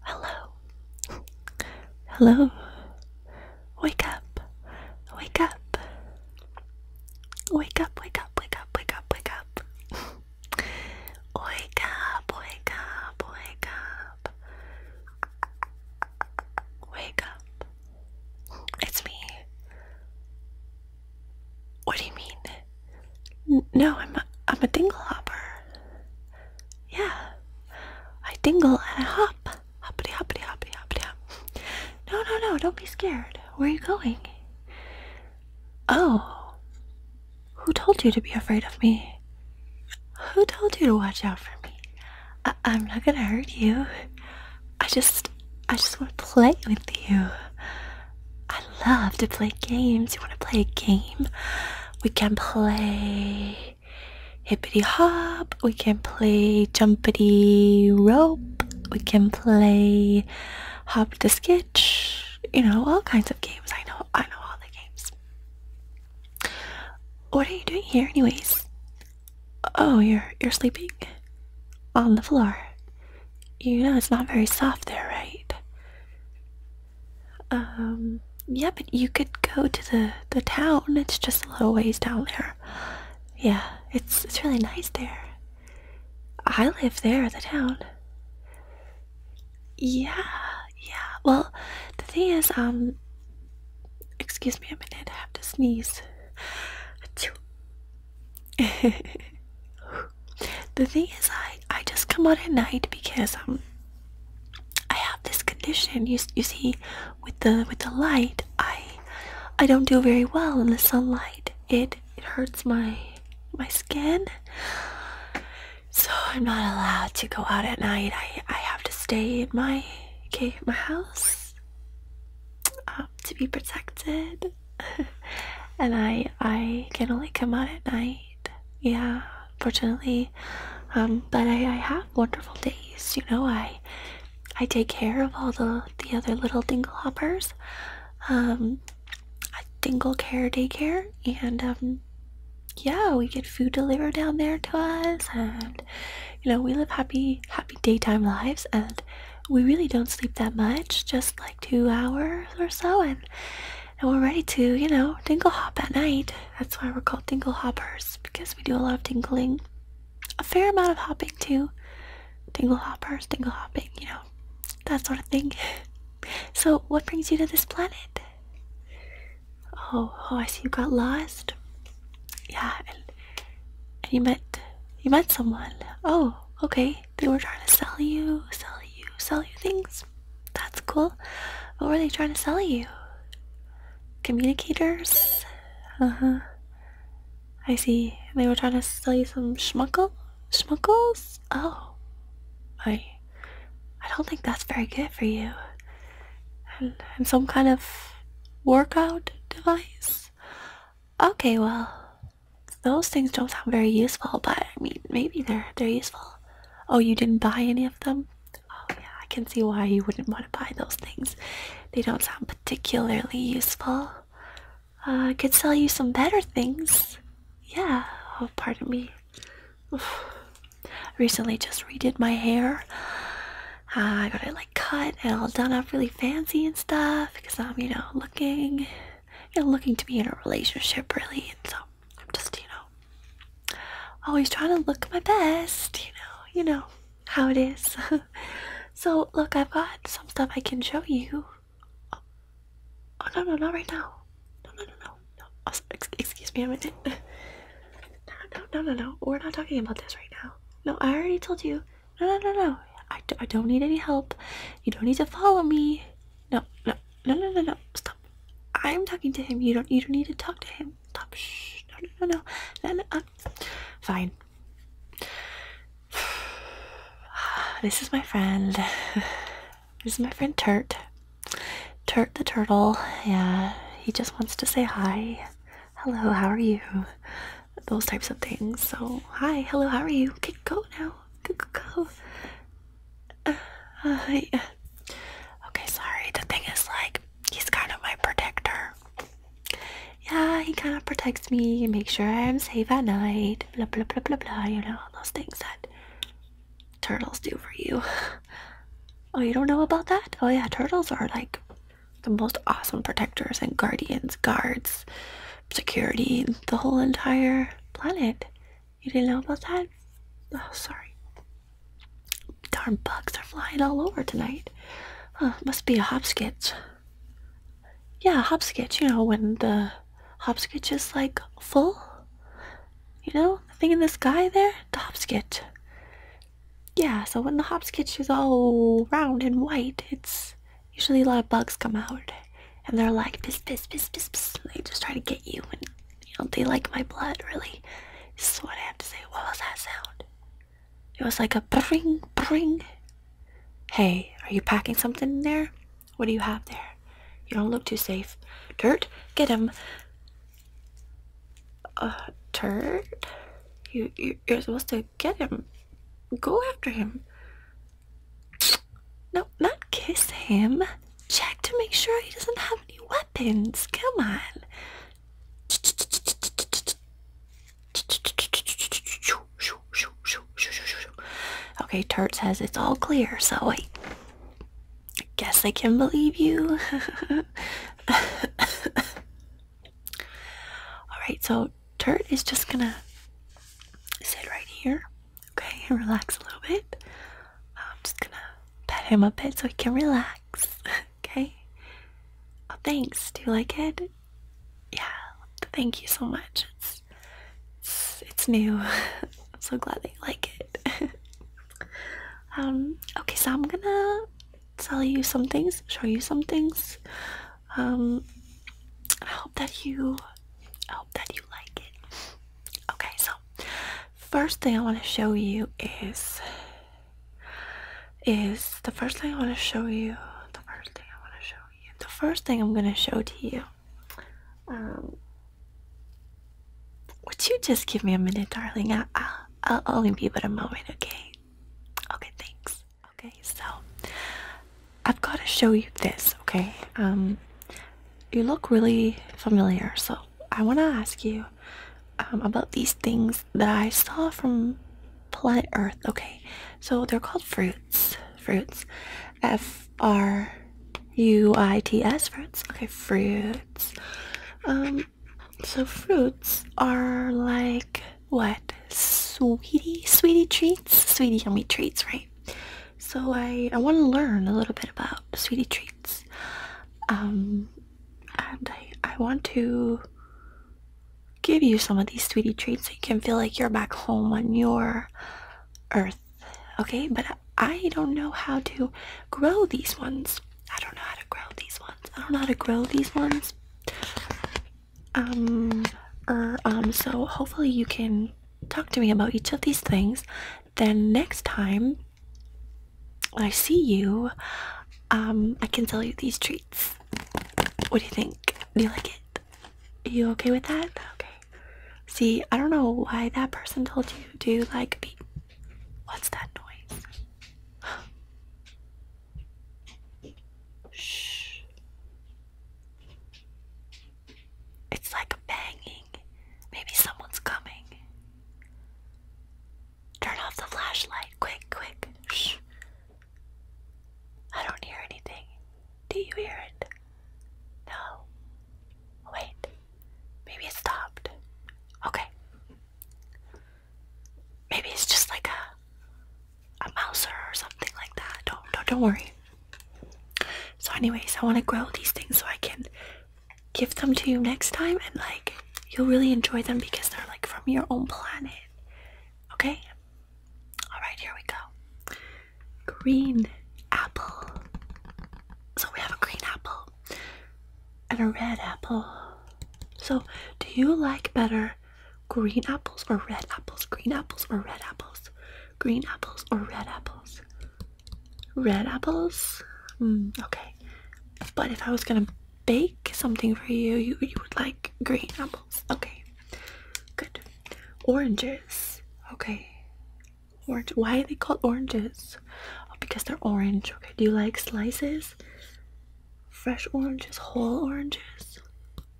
Hello. Hello. Wake up. Wake up. Wake up, wake up, wake up, wake up, wake up. wake up, wake up, wake up. Wake up. It's me. What do you mean? no, I'm a, I'm a dingle hopper. Yeah, I dingle and I hop. Hoppity, hoppity, hoppity, hoppity, hop. No, no, no, don't be scared. Where are you going? Oh, who told you to be afraid of me? Who told you to watch out for me? I'm not gonna hurt you. I just I just want to play with you. I love to play games. You want to play a game? We can play hippity hop. We can play jumpity rope. We can play hop to sketch. You know all kinds of games. I know I know all the games. What are you doing here, anyways? Oh, you're you're sleeping on the floor. You know it's not very soft there, right? Um, yeah, but you could go to the the town. It's just a little ways down there. Yeah, it's it's really nice there. I live there, the town. Yeah, yeah. Well, the thing is, um, excuse me a minute. I have to sneeze. Achoo. the thing is, I I just come out at night because um I have this condition. You you see, with the with the light, I I don't do very well in the sunlight. It it hurts my my skin. So I'm not allowed to go out at night. I I have to stay in my okay my house uh, to be protected. and I I can only come out at night. Yeah, fortunately, um, but I, I have wonderful days. You know, I I take care of all the the other little dingle hoppers. Um, I dingle care daycare, and um, yeah, we get food delivered down there to us, and you know, we live happy happy daytime lives, and we really don't sleep that much, just like two hours or so, and and we're ready to, you know, dingle hop at night. That's why we're called dingle hoppers because we do a lot of tingling, a fair amount of hopping too. Dingle hoppers, dingle hopping, you know, that sort of thing. So, what brings you to this planet? Oh, oh, I see you got lost. Yeah, and you met you met someone. Oh, okay they were trying to sell you, sell you, sell you things. That's cool. What were they trying to sell you? Communicators? Uh-huh. I see. They were trying to sell you some schmuckle? Schmuckles? Oh. I I don't think that's very good for you. and some kind of workout device? Okay, well, those things don't sound very useful, but I mean, maybe they're they're useful. Oh, you didn't buy any of them? Oh yeah, I can see why you wouldn't want to buy those things. They don't sound particularly useful. I uh, could sell you some better things. Yeah. Oh, pardon me. recently just redid my hair. Uh, I got it like cut and all done up really fancy and stuff because I'm, you know, looking you know, looking to be in a relationship really, and so I'm just, you know, always trying to look my best, you know, you know how it is. so look, I've got some stuff I can show you. Oh, no, no, not right now. No, no, no, no, oh, excuse me a minute. No, no, no, no, no. We're not talking about this right now. No, I already told you no, no, no, no. I, do, not need any help. You don't need to follow me. No, no, no, no, no, no. Stop. I'm talking to him. You don't, you don't need to talk to him. Stop. Shh. No, no, no, no. no, no um, Fine. This is my friend. This is my friend Turt. Turt the turtle. Yeah, he just wants to say hi. Hello, how are you? those types of things. So, hi, hello, how are you? Okay, go now. Go, go, uh, uh, yeah. Okay, sorry. The thing is, like, he's kind of my protector. Yeah, he kind of protects me and makes sure I'm safe at night. Blah, blah, blah, blah, blah. You know, all those things that turtles do for you. Oh, you don't know about that? Oh, yeah, turtles are like the most awesome protectors and guardians, guards security the whole entire planet. You didn't know about that? Oh, sorry. Darn bugs are flying all over tonight. Huh, must be a hopskitch. Yeah, hopskitch. You know, when the hopskitch is like full. You know, the thing in the sky there? The hopskitch. Yeah, so when the hopskitch is all round and white, it's Usually a lot of bugs come out and they're like piss piss piss piss they just try to get you and you know they like my blood really. This is what I have to say. What was that sound? It was like a bring bring. Hey, are you packing something in there? What do you have there? You don't look too safe. Dirt, get him. Uh, turd? You, you, you're supposed to get him. Go after him. No, not kiss him. Check to make sure he doesn't have any weapons. Come on. Okay, Turt says it's all clear, so I guess I can believe you. Alright, so so dirt is just gonna sit right here, okay, and relax a little bit. I'm just gonna pet him a bit so he can relax, okay? Oh, thanks. Do you like it? Yeah. Thank you so much. It's new. I'm so glad that you like it. um. Okay, so I'm gonna tell you some things, show you some things um I hope that you I hope that you like it. Okay, so first thing I want to show you is is the first thing I want to show you the first thing I want to show you the first thing I'm gonna show to you um would you just give me a minute darling I, I, I'll only be but a moment okay okay thanks Okay, so I've got to show you this, okay? Um, you look really familiar, so I want to ask you um, about these things that I saw from planet Earth, okay? So they're called fruits. Fruits. F R U I T S, fruits. Okay, fruits. Um, so fruits are like what? Sweetie, sweetie treats? Sweetie yummy treats, right? So I I want to learn a little bit about sweetie treats, um, and I I want to give you some of these sweetie treats so you can feel like you're back home on your earth, okay? But I don't know how to grow these ones. I don't know how to grow these ones. I don't know how to grow these ones um Or er, um so hopefully you can talk to me about each of these things then next time when I see you um I can sell you these treats what do you think do you like it are you okay with that okay see I don't know why that person told you to like be. what's that noise Shh. It's like a banging. Maybe someone's coming. Turn off the flashlight. Quick, quick. Shh. I don't hear anything. Do you hear it? No. Wait. Maybe it stopped. Okay. Maybe it's just like a a mouser or something like that. Don't don't don't worry. So, anyways, I want to grow these things so I can give them to you next time, and like you'll really enjoy them because they're like from your own planet. Okay? Alright, here we go. Green apple. So, we have a green apple and a red apple. So, do you like better green apples or red apples, green apples or red apples, green apples or red apples, red apples. Mm, okay, but if I was gonna bake something for you, you, you would like green apples. Okay, good. Oranges. Okay, orange. Why are they called oranges? Oh, because they're orange. Okay, do you like slices? Fresh oranges, whole oranges.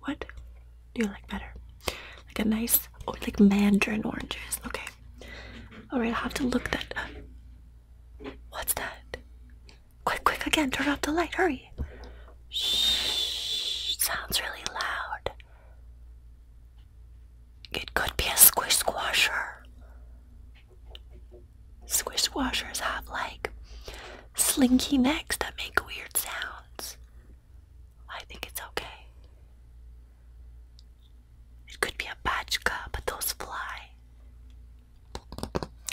What do you like better? Like a nice, or oh, like mandarin oranges. Okay. All right, I'll have to look that. Up. What's that? Quick, quick again. Turn off the light. Hurry. Shh. Sounds really loud. It could be a squish squasher. Squish squashers have like slinky necks that make weird sounds. I think it's okay. It could be a bachka, but those fly.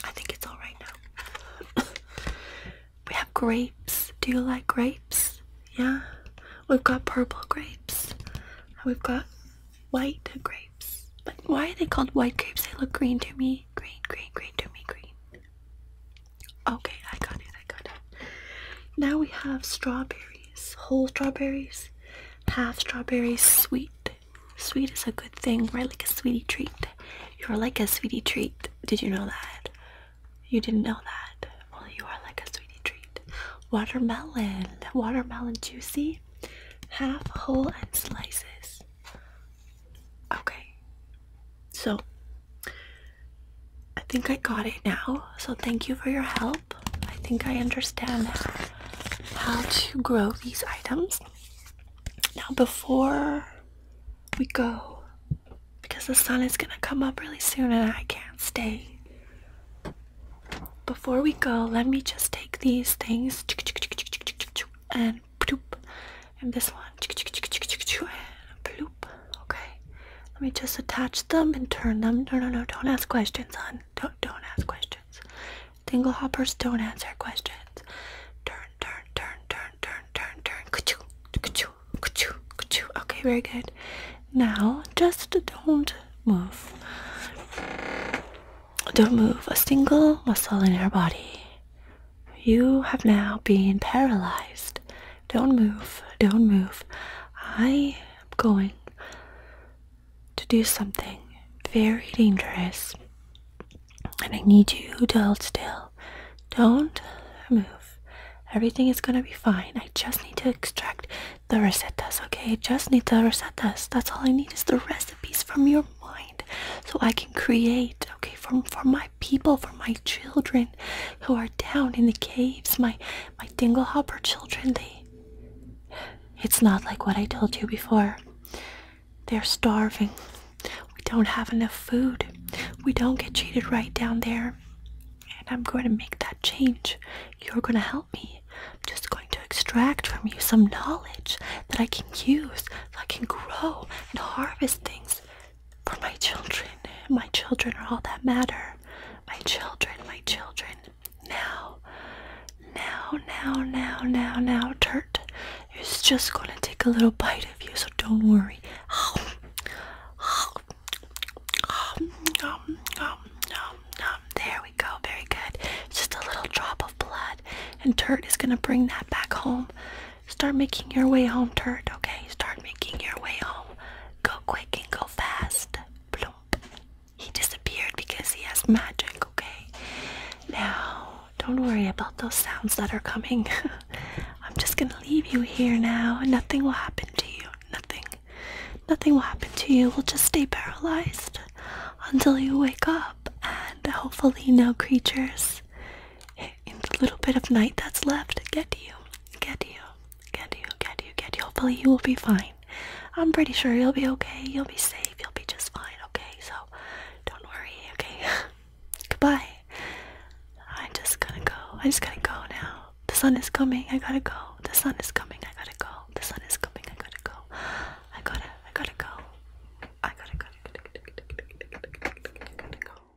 I think it's alright now. we have grapes. Do you like grapes? Yeah? We've got purple grapes. We've got white grapes. But why are they called white grapes? They look green to me. Green, green, green to me, green. Okay, I got it, I got it. Now we have strawberries, whole strawberries, half strawberries, sweet. Sweet is a good thing, right? Like a sweetie treat. You're like a sweetie treat. Did you know that? You didn't know that. Well, you are like a sweetie treat. Watermelon, watermelon juicy, half whole and slices. Okay, so I think I got it now. So thank you for your help. I think I understand how to grow these items. Now before we go, because the sun is gonna come up really soon and I can't stay. Before we go, let me just take these things and bloop, and this one and Okay, let me just attach them and turn them. No, no, no, don't ask questions, hon. Don't, don't ask questions. Tingle don't answer questions. Turn, turn, turn, turn, turn, turn, turn. Ka-choo, ka-choo, Okay, very good. Now, just don't move. Don't move a single muscle in your body. You have now been paralyzed don't move. Don't move. I am going to do something very dangerous. And I need you to hold still. Don't move. Everything is gonna be fine. I just need to extract the rosettas, okay? just need the rosettas. That's all I need is the recipes from your mind so I can create, okay, for, for my people, for my children who are down in the caves, my my dinglehopper children, they it's not like what I told you before. They're starving. We don't have enough food. We don't get treated right down there. And I'm going to make that change. You're going to help me. I'm just going to extract from you some knowledge that I can use, that I can grow and harvest things for my children, my children are all that matter. My children, my children. Now, now, now, now, now, now, Turt is just gonna take a little bite of you, so don't worry. There we go, very good. It's just a little drop of blood, and Turt is gonna bring that back home Start making your way home, turd, okay? Start making your way home. Go quick and go fast. Plump. He disappeared because he has magic, okay? Now, don't worry about those sounds that are coming. I'm just gonna leave you here now, nothing will happen to you. Nothing. Nothing will happen to you. We'll just stay paralyzed until you wake up, and hopefully, no creatures in the little bit of night that's left get you, get you, get you, get you, get you. Hopefully you will be fine. I'm pretty sure you'll be okay. You'll be safe. You'll be just fine. Okay, so don't worry. Okay, goodbye. I'm just gonna go. I just gotta go now. The sun is coming. I gotta go. The sun is coming. I gotta go. The sun is coming. I gotta go. I gotta. I gotta go. I gotta go. I gotta go.